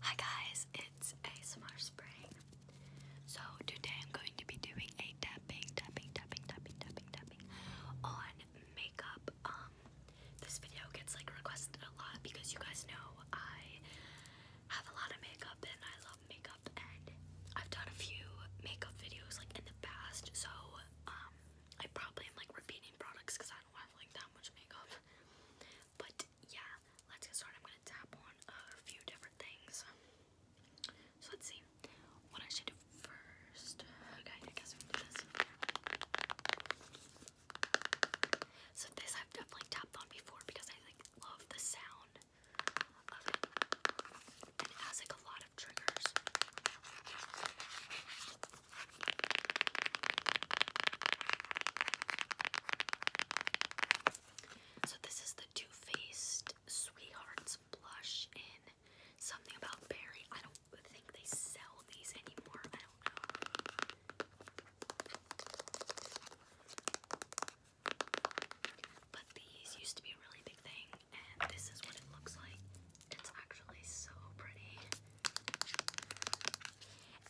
Hi guys, it's ASMR Spring. So today I'm going to be doing a tapping, tapping, tapping, tapping, tapping, tapping on makeup. Um, this video gets like requested a lot because you guys know I have a lot of makeup and I love makeup and I've done a few makeup videos like in the past. So um, I probably am like repeating products because I I that much makeup. But yeah, let's get started. I'm gonna tap on a few different things. So let's see what I should do first. Okay, I guess we do this. So this I've definitely tapped on before because I like love the sound And it has like a lot of triggers. So this is the Too Faced Sweethearts blush in something about Barry. I don't think they sell these anymore. I don't know. But these used to be a really big thing, and this is what it looks like. It's actually so pretty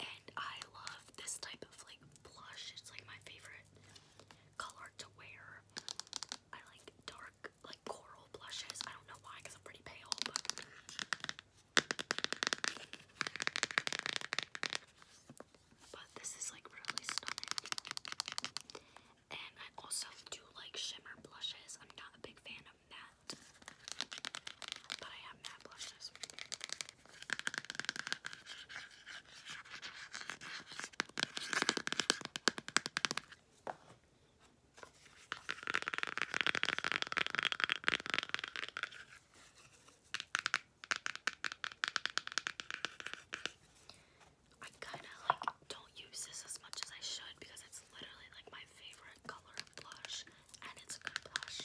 and I love this type of like blush. It's like my favorite color to wear. I like dark, like coral blushes. I don't know why, because I'm pretty pale, but this is like really stunning. And I also do like shimmer blushes. I'm not a big fan of but I have matte blushes. I kind of like don't use this as much as I should because it's literally like my favorite color blush, and it's a good blush.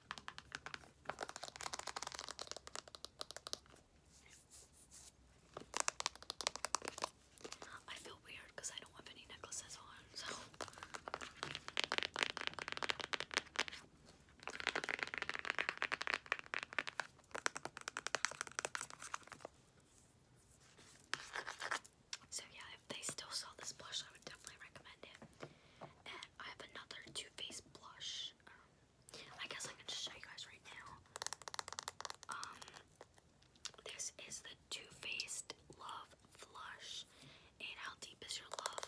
I feel weird because I don't have any necklaces on, So, yeah, they still sell this blush, I would definitely recommend it. I have another Too Faced blush. Um, I guess I can show you guys right now. Um, this is the Too Faced Love Flush. And how deep is your love?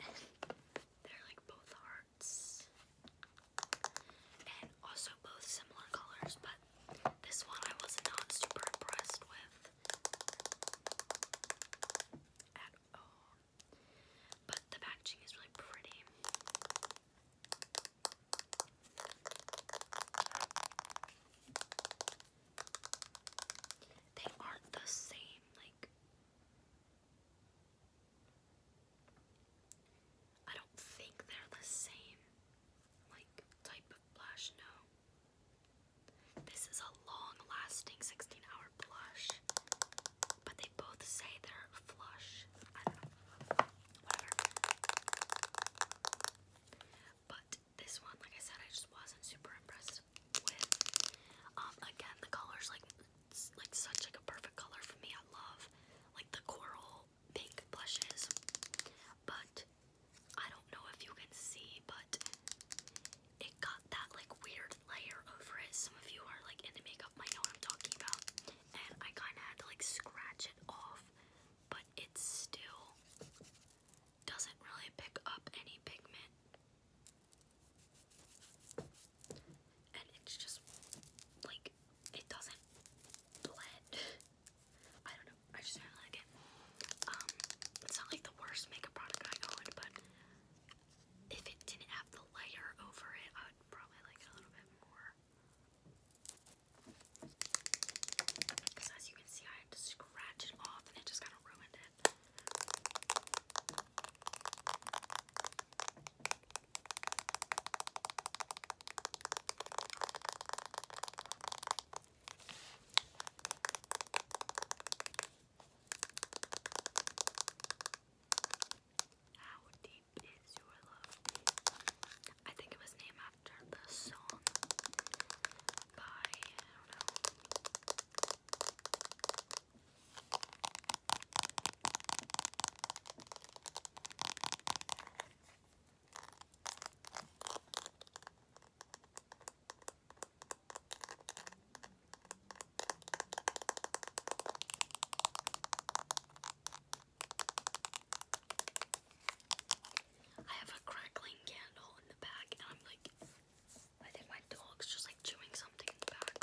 they're like both hearts. And also both similar colors, but this one I was not super impressed with at all. But the packaging is really pretty. They aren't the same, like I don't think they're the same like type of blush, no. This is a long-lasting 16-hour blush, but they both say they're flush. But this one, like I said, I just wasn't super impressed with. Um, again, the color's like like such like a perfect color for me. I love like the coral pink blushes. But I don't know if you can see, but it got that like weird layer over it. Some of you are like into makeup might know what I'm talking about. And I kind of had to like scratch it off, but it still doesn't really pick up any pigment. And it's just like it doesn't blend. I don't know. I just really like it. Um, it's not like the worst makeup product I own, but if it didn't have the layer over it, I would probably like it a little bit more. Because as you can see, I had to scratch it off and it just kind of ruined it. I how deep is your love? I think it was named after the song by I don't know. I have a crackling candle in the back, and I'm like, I think my dog's just like chewing something in the back.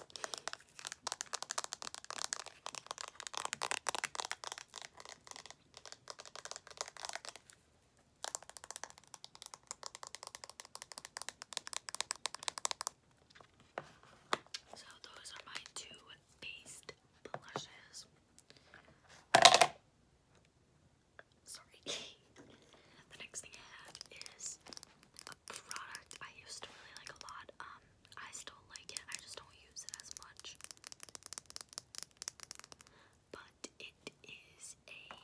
So those are my two based blushes. Sorry. the next thing I have is a product I used to really like a lot. Um, I still like it. I just don't use it as much but it is a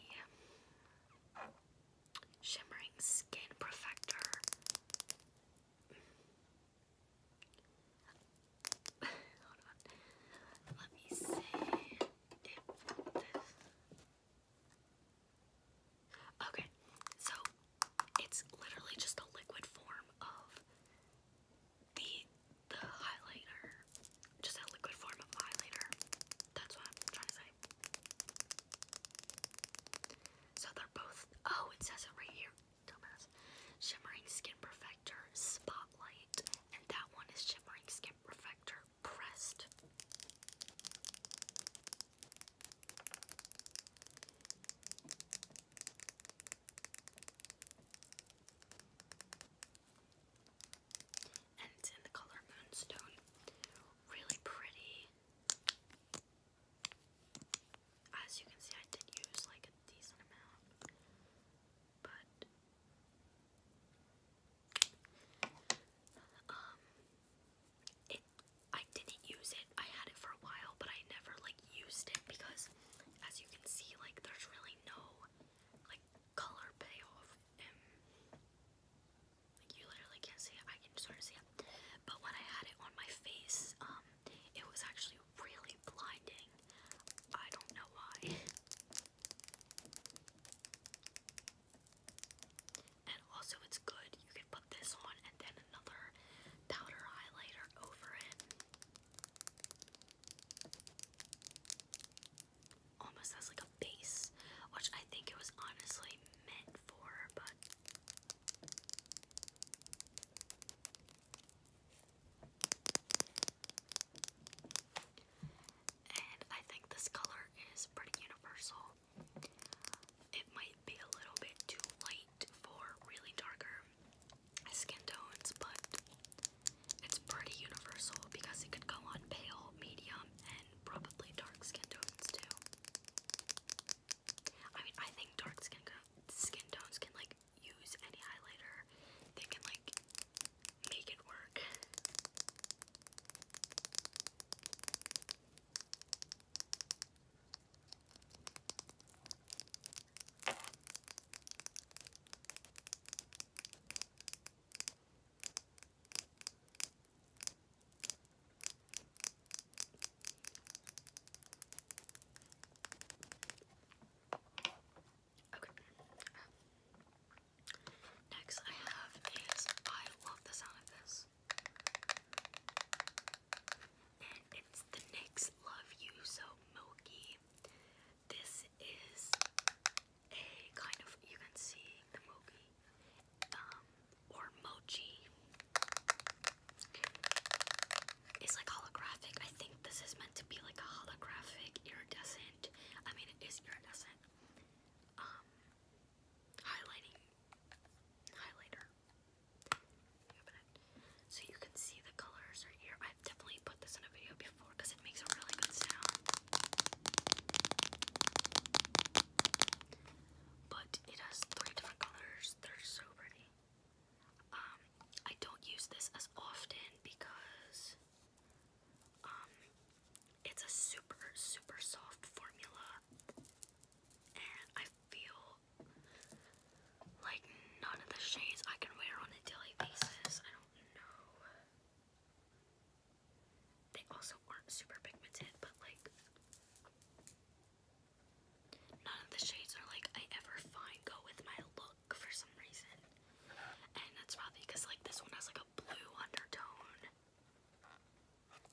shimmering skin perfector. Hold on. Let me see Okay, so it's literally just a liquid form of the the highlighter, just a liquid form of highlighter. That's what I'm trying to say. So they're both, oh, it says it right here, dumbass. Shimmering Skin Perfector Spotlight, and that one is Shimmering Skin Perfector Pressed and it's in the color Moonstone. Really pretty. As you can see, I did use like a decent amount, but um, it I didn't use it. I had it for a while, but I never like used it because, as you can see, like there's really no like color payoff. like you literally can't see it. I can sort of see it. But when I had it on my face, um, it was actually really blinding. I don't know why. And also it's good. You can put this on and then another powder highlighter over it almost has like a base, which I think it was honestly meant for, but I think this color is pretty universal. It might be a little bit too light for really darker skin tones, but it's pretty universal because it could go on pale, medium, and probably dark skin tones too. I mean, I think dark skin skin tones can like use any highlighter. They can like make it work. Okay. Um, next I have is I love the sound of this. And it's the NYX Love You So Milky. This is a kind of you can see the mochi um, or mochi. It's like holographic. I think this is meant to be like a holographic iridescent. I mean, it is iridescent. Um, highlighting highlighter. So you can see the colors are here. I've definitely put this in a video before because makes a really good sound. But it has three different colors. They're so pretty. Um, I don't use this as often because um, it's a super super soft formula and I feel like none of the shades I can wear on a daily basis. I don't know. They also aren't super pigmented, but like none of the shades are like I ever find go with my look for some reason. And that's probably because like this one has like a blue undertone.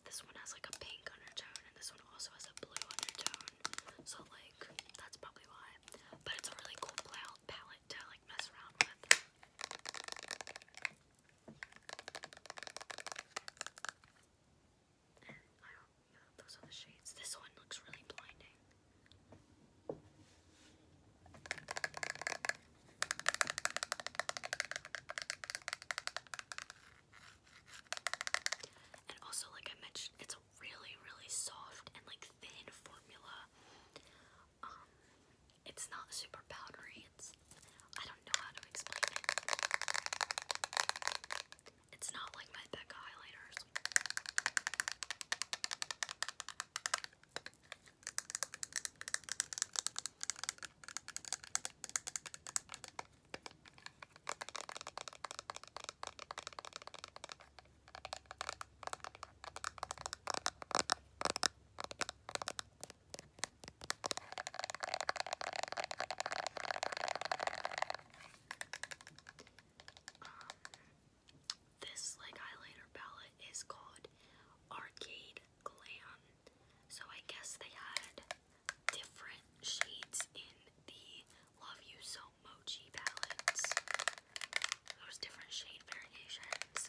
This one has like a pink undertone and this one also has a blue undertone. So like that's probably why. But it's a really cool palette to like mess around with those are the shades. This one looks really blinding. And also, like I mentioned, it's a really, really soft and like thin formula. Um, it's not super powdery. It's I don't know how to explain it. It's not like my Becca highlighters. Um, this like highlighter palette is called Arcade Glam. So I guess they had different shades in the Love You So Mochi palettes. There's different shade variations.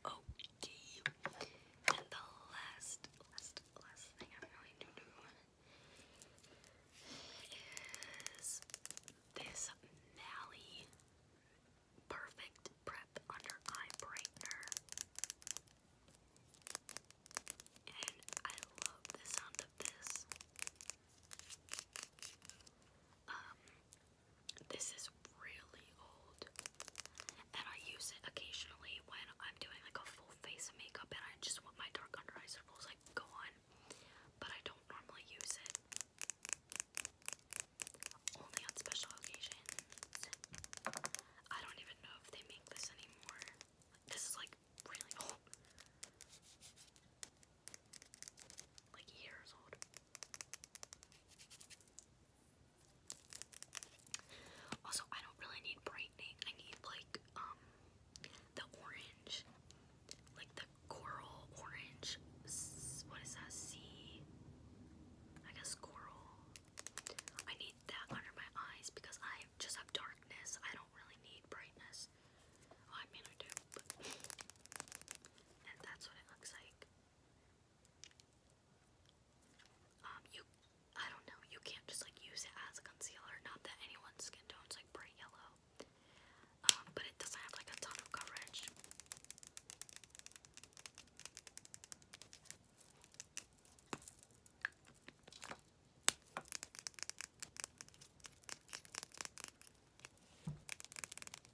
Okay. And the last, last, last thing I'm going to do is this Mally Perfect Prep Under Eye Brightener. And I love the sound of this. Um, this is really old, and I use it occasionally when I'm doing like a full face of makeup and I just want my dark under eye circles like go on, but I don't normally use it. Only on special occasions. I don't even know if they make this anymore. This is like really old. Like years old. Also, I don't really need brightening. I need like um the orange, like the coral orange. What is that? Sea. I guess coral. I need that under my eyes because I just have darkness. I don't really need brightness. Well, oh, I mean I do, and that's what it looks like. Um, you, I don't know, you can't just like use it as a concealer. Not that anyone's skin tone's like bright yellow, um, but it doesn't have like a ton of coverage.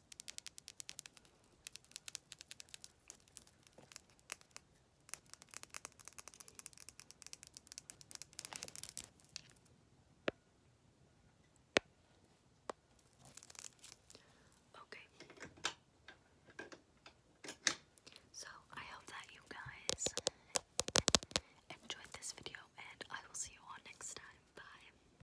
Okay. So, I hope that you guys enjoyed this video, and I will see you all next time. Bye.